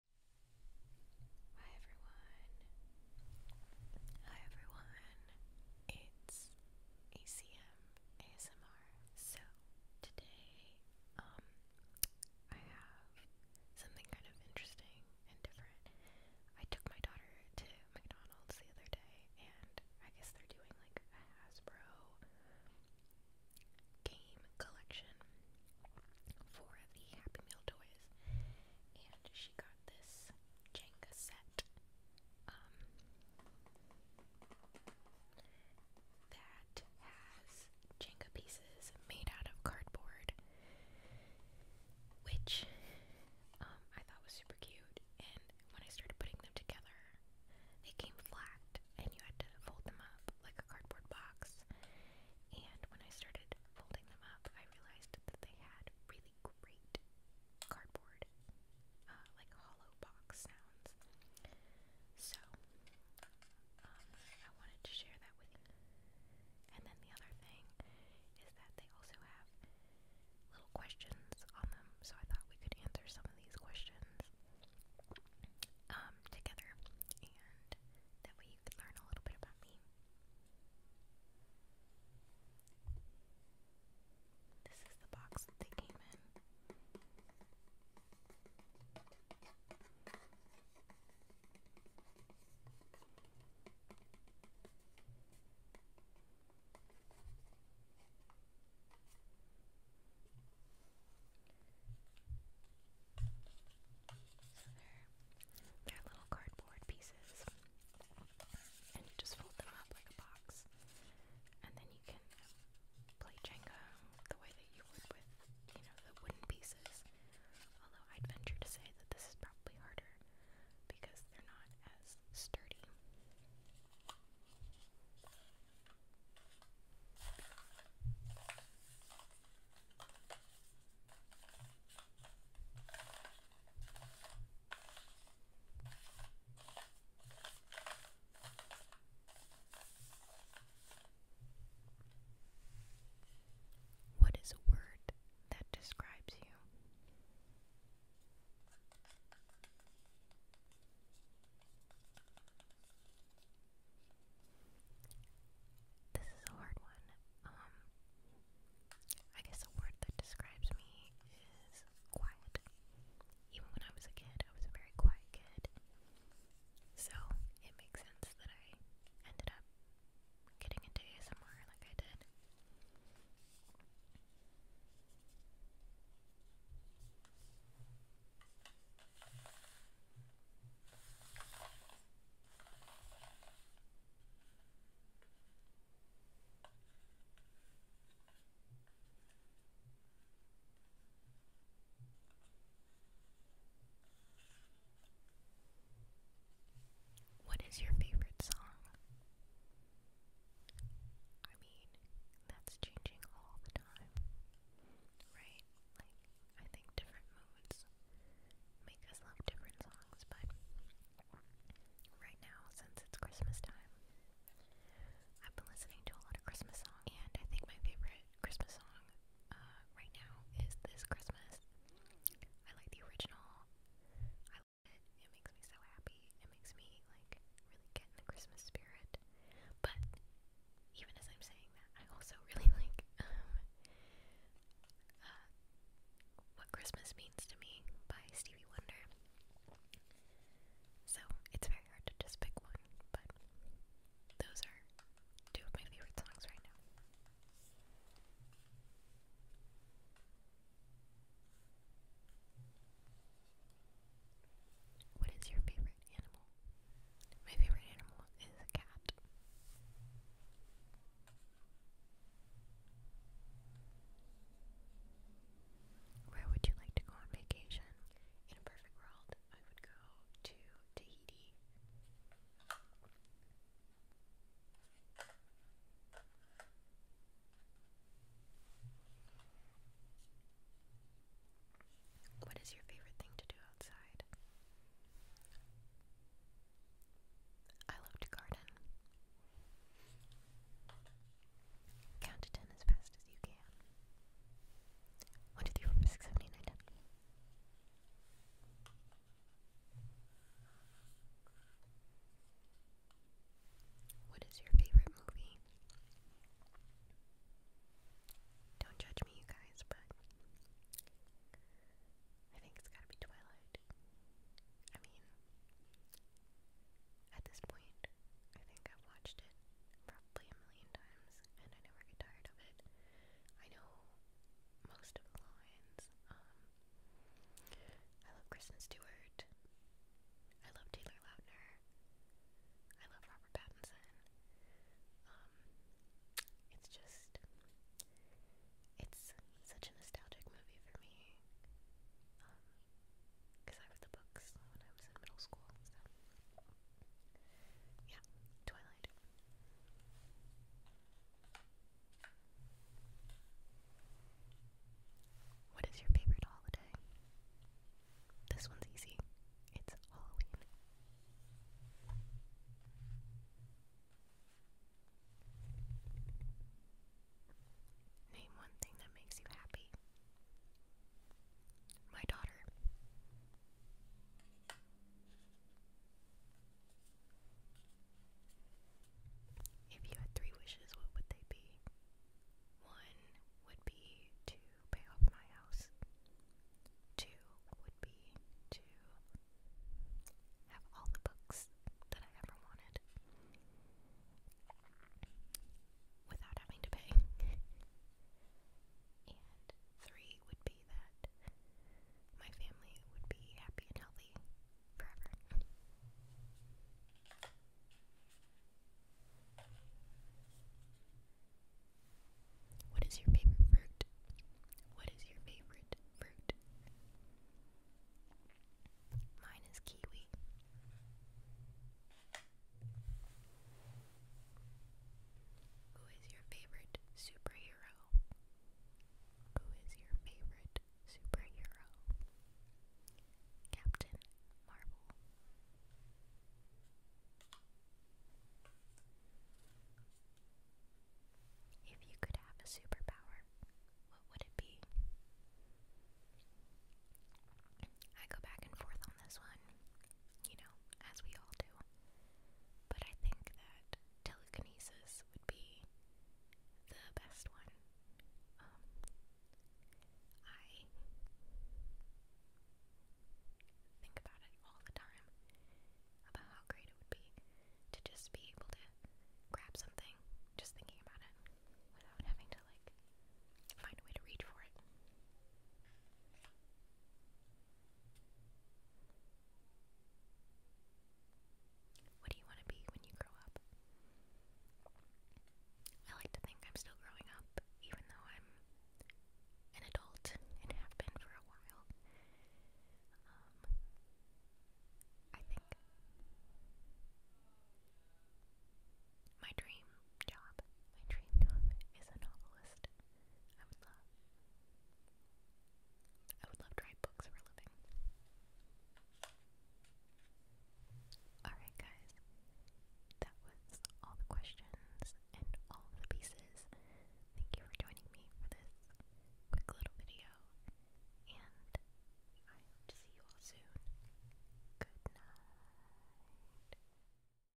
Hi everyone. Hi everyone. It's ACM ASMR. So today, um, I have something kind of interesting and different. I took my daughter to McDonald's the other day, and I guess they're doing like a Hasbro game collection for the Happy Meal toys, and she got this Jenga set um, that has Jenga pieces made out of cardboard, which um, I thought was super cute. And when I started putting them together, they came flat, and you had to fold them up like a cardboard box. And when I started folding them up, I realized that they had really great cardboard, uh, like hollow box sounds. So, um, I wanted to share that with And then the other thing is that they also have little questions on them, so I thought we could answer some of these questions um, together, and that way you can learn a little bit about me. This is the box that they came in. So they're little cardboard pieces, and you just fold them up like a box, and then you can play Jenga the way that you would with, you know, the wooden pieces. Although I'd venture to say that this is probably harder because they're not as sturdy. What is a word that describes you? This is a hard one. Um, I guess a word that describes me is quiet. Even when I was a kid, I was a very quiet kid. So it makes sense that I ended up getting into ASMR like I did. What is your favorite song? I mean, that's changing all the time, right? Like, I think different moods make us love different songs, but right now, since it's Christmas time, I've been listening to a lot of Christmas songs, and I think my favorite Christmas song uh, right now is This Christmas. I like the original. It makes me so happy. It makes me like really get in the Christmas spirit. But even as I'm saying that, I also really like um, uh, "What Christmas Means to Me" by Stevie Wonder. So it's very hard to just pick one, but those are two of my favorite songs right now. What is your favorite animal? My favorite animal is a cat. Where would you like to go on vacation? In a perfect world, I would go to Tahiti. What is your favorite thing to do outside? I love garden. Count to ten as fast as you can. One, two, three, four, five, six, seven, eight, nine, ten. What is your favorite movie? Don't judge me, you guys, but I think it's gotta be Twilight. I mean, at this point, I think I've watched it probably a million times and I never get tired of it. I know most of the lines, um, I love Kristen Stewart. I love Taylor Lautner. I love Robert Pattinson. Um, it's just, it's such a nostalgic movie for me. because um, I read the books when I was in middle school, so. Yeah, Twilight. What is your favorite holiday? This one's easy. It's Halloween. Name one thing that makes you happy. My daughter. If you had three wishes, what would they be? One would be to pay off my house. Two would be to have all the books that I ever wanted without having to pay. and three would that my family would be happy and healthy forever. What is your favorite fruit? What is your favorite fruit? Mine is kiwi. Who is your favorite superhero? Who is your favorite superhero? Captain Marvel. If you could have a superpower, what would it be? I go back and forth on this one, you know, as we all do. But I think that telekinesis would be the best one. Um, I think about it all the time about how great it would be to just be able to grab something just thinking about it without having to like find a way to reach for it. What do you want to be when you grow up? I like to think I'm still growing up, even though I'm an adult and have been for a while. Um, I think my dream job, my dream job is a novelist. I would love. I would love to write books for a living. Alright, guys. That was all the questions and all the pieces. Thank you for joining me for this quick little video. And I hope to see you all soon. Good night.